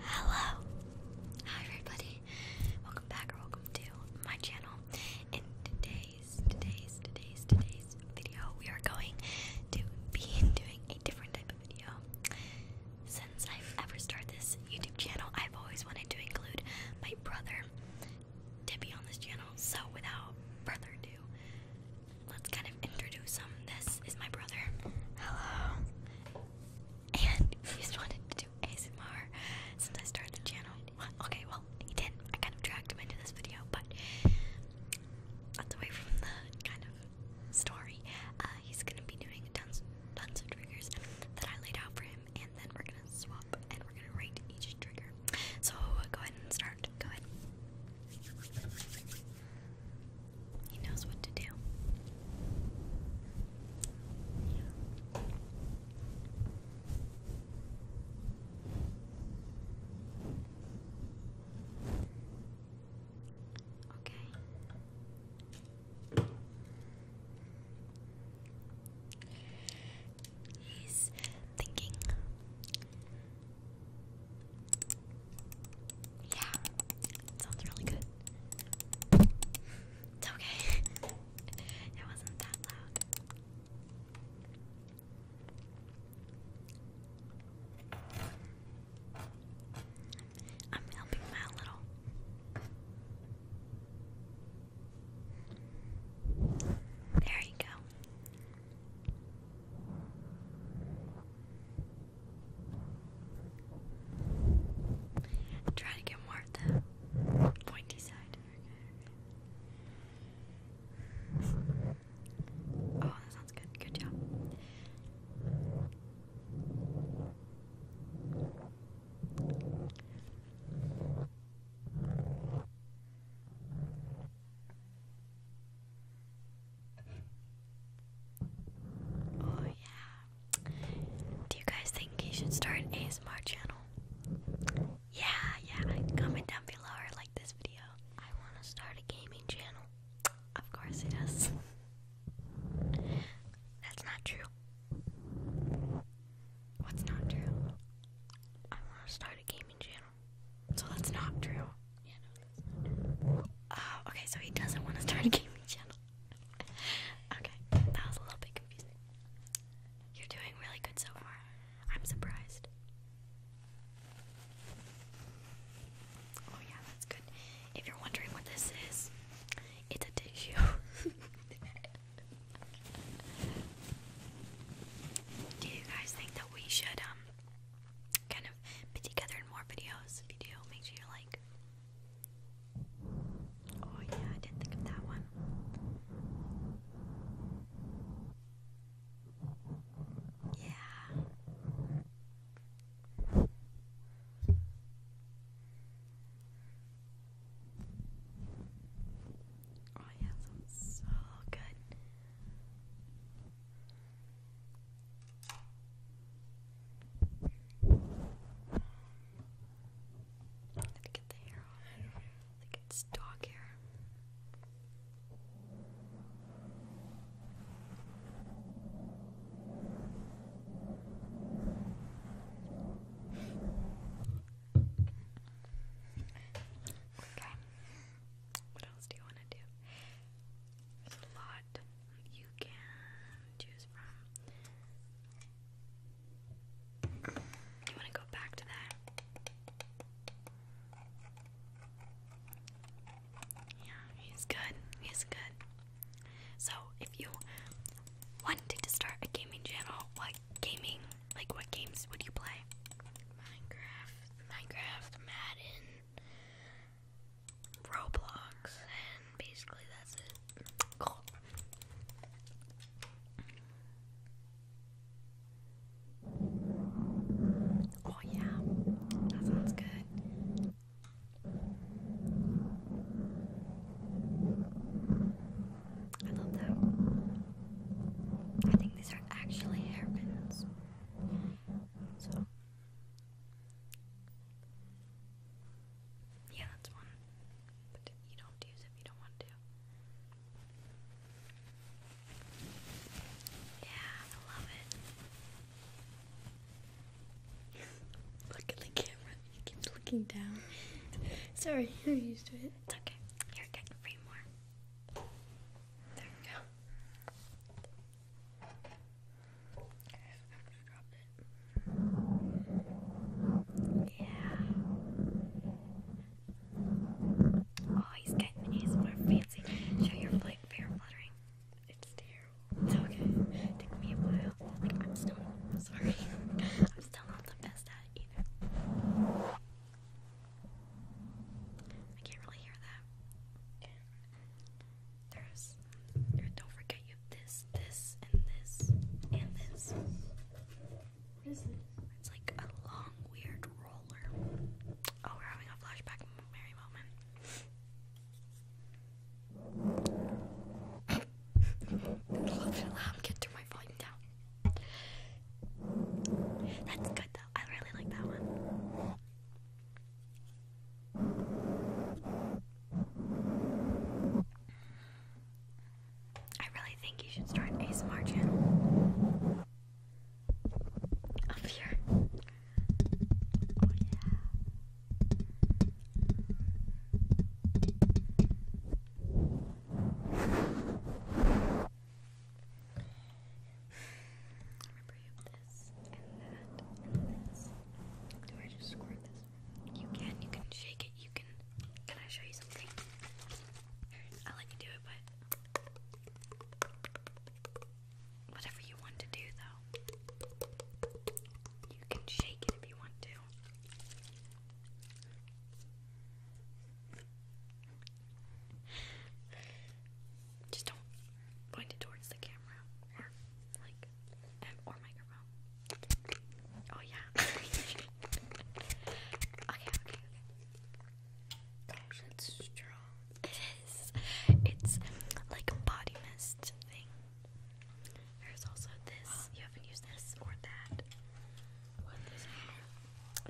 Hello! Hi everybody. Welcome back or welcome to my channel. In today's, today's, today's, today's video, we are going to be doing a different type of video. Since I've ever started this YouTube channel, I've always wanted to include my brother to be on this channel. So without further ado, let's kind of introduce him. This is my brother. Hello. And he's wanted to do ASMR since I started the channel. okay, well, he did I kind of dragged him into this video, but that's away from the kind of story. Uh, he's gonna be doing tons, tons of triggers that I laid out for him, and then we're gonna swap and we're gonna rate each trigger. So go ahead and start. Go ahead. He knows what to do. Okay. He's thinking. Yeah, sounds really good. It's okay. it wasn't that loud. I'm helping him little. There you go i to get more the pointy side. Oh, that sounds good. Good job. Oh yeah. Do you guys think he should start ASMR channel? Yeah, yeah. Comment down below or like this video. I want to start a gaming channel. Of course he does. That's not true. What's not true? I want to start a gaming channel. So that's not true. Oh, okay, so he doesn't want to start a gaming channel. okay, that was a little bit confusing. You're doing really good so far. I'm surprised. Oh, yeah, that's good. If you're wondering what this is, it's a tissue. Do you guys think that we should um kind of put together in more videos. If make sure you like. Oh yeah, I did think of that one. Yeah. Oh yeah, sounds so good. Let me get the hair on. I do it's dog hair. Okay. What else do you want to do? There's a lot you can choose from. You want to go back to that? Yeah, he's good. He's good. So, if you wanted to start a gaming channel, what gaming, like what games would you play? Minecraft. Minecraft, Madden, Roblox, and basically that's it. Oh yeah, that sounds good. I love that. I think these are actually hairpins. So yeah, that's one. But you don't use it if you don't want to. Yeah, I love it. Look at the camera. He keeps looking down. Sorry, I'm used to it. It's okay. You're getting more. There we go. Yeah. Oh, he's getting his more fancy. Show your flight fair fluttering. It's terrible. It's okay. took me a while. I'm still sorry. I'm still not the best at either. I can't really hear that. There's. Don't forget you have this, this, and this, and this. What is this? It's like a long, weird roller. Oh, we're having a flashback merry moment. Get through my volume down. That's good though. I really like that one. I really think you should start a smart up here. Oh yeah remove this and that Do I just squirt this? You can, you can shake it, you can. Can I show you something? I'll let you do it, but. Whatever you want to do, though. You can shake it if you want to. Just don't point it towards the camera or like or microphone. Oh yeah. okay, okay, okay. it's strong. It is. It's like a body mist thing. There's also this. You haven't used this or that. What it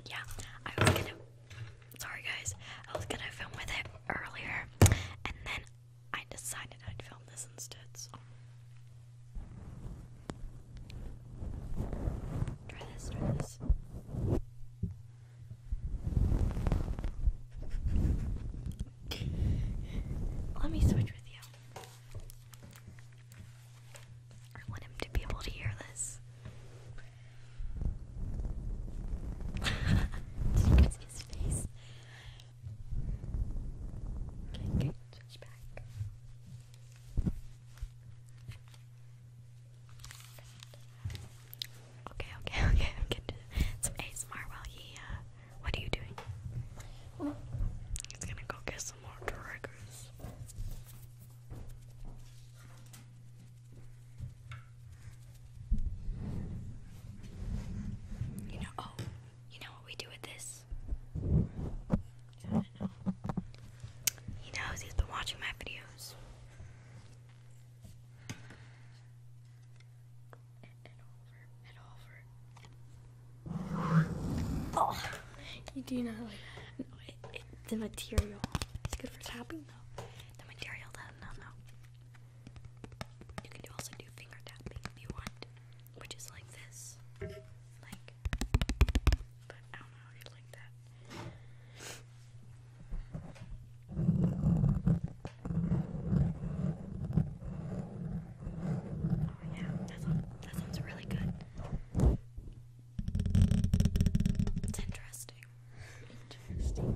yeah, I was gonna. Sorry, guys. I was gonna film with it earlier, and then I decided I'd film this instead. Try this. Try this. Let me switch with you. I want him to be able to hear this. Okay, okay, switch back. Okay, okay, okay, I'm getting some ASMR while he, uh, what are you doing? He's gonna go get some more triggers. You know, oh, you know what we do with this? He knows he's been watching my videos. Oh, you do not the material. It's good for tapping though. The material does no, no. You can also do finger tapping if you want, which is like this. Like, but I don't know, it's like that. Oh yeah, that sounds really good. It's interesting. Interesting.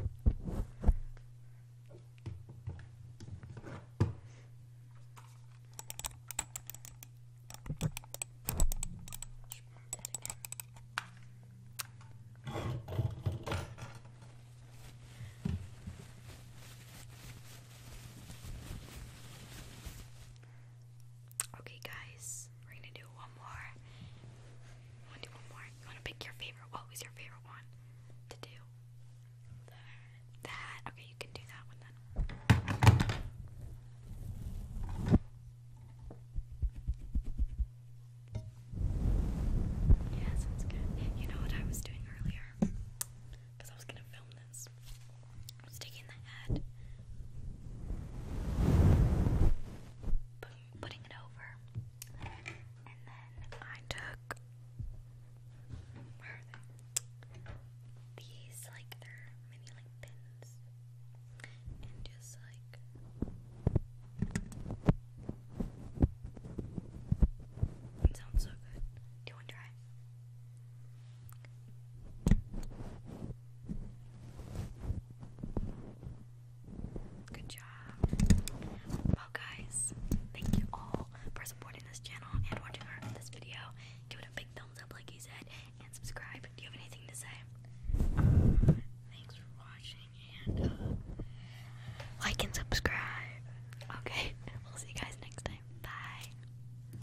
Okay, guys, we're gonna do one more. one more. You wanna pick your favorite? What was your favorite one to do? That. Okay, you can do that one then. Yeah, sounds good. You know what I was doing earlier? Because I was gonna film this. I'm sticking the head, putting it over, and then I took These like they like pins, and just like. sounds so good. Do you want to try? Good job. Well, guys, thank you all for supporting this channel and watching this video. Give it a big thumbs up, like he said, and subscribe. Do you have anything to say? thanks for watching and uh, like and subscribe. Okay, we'll see you guys next time. Bye.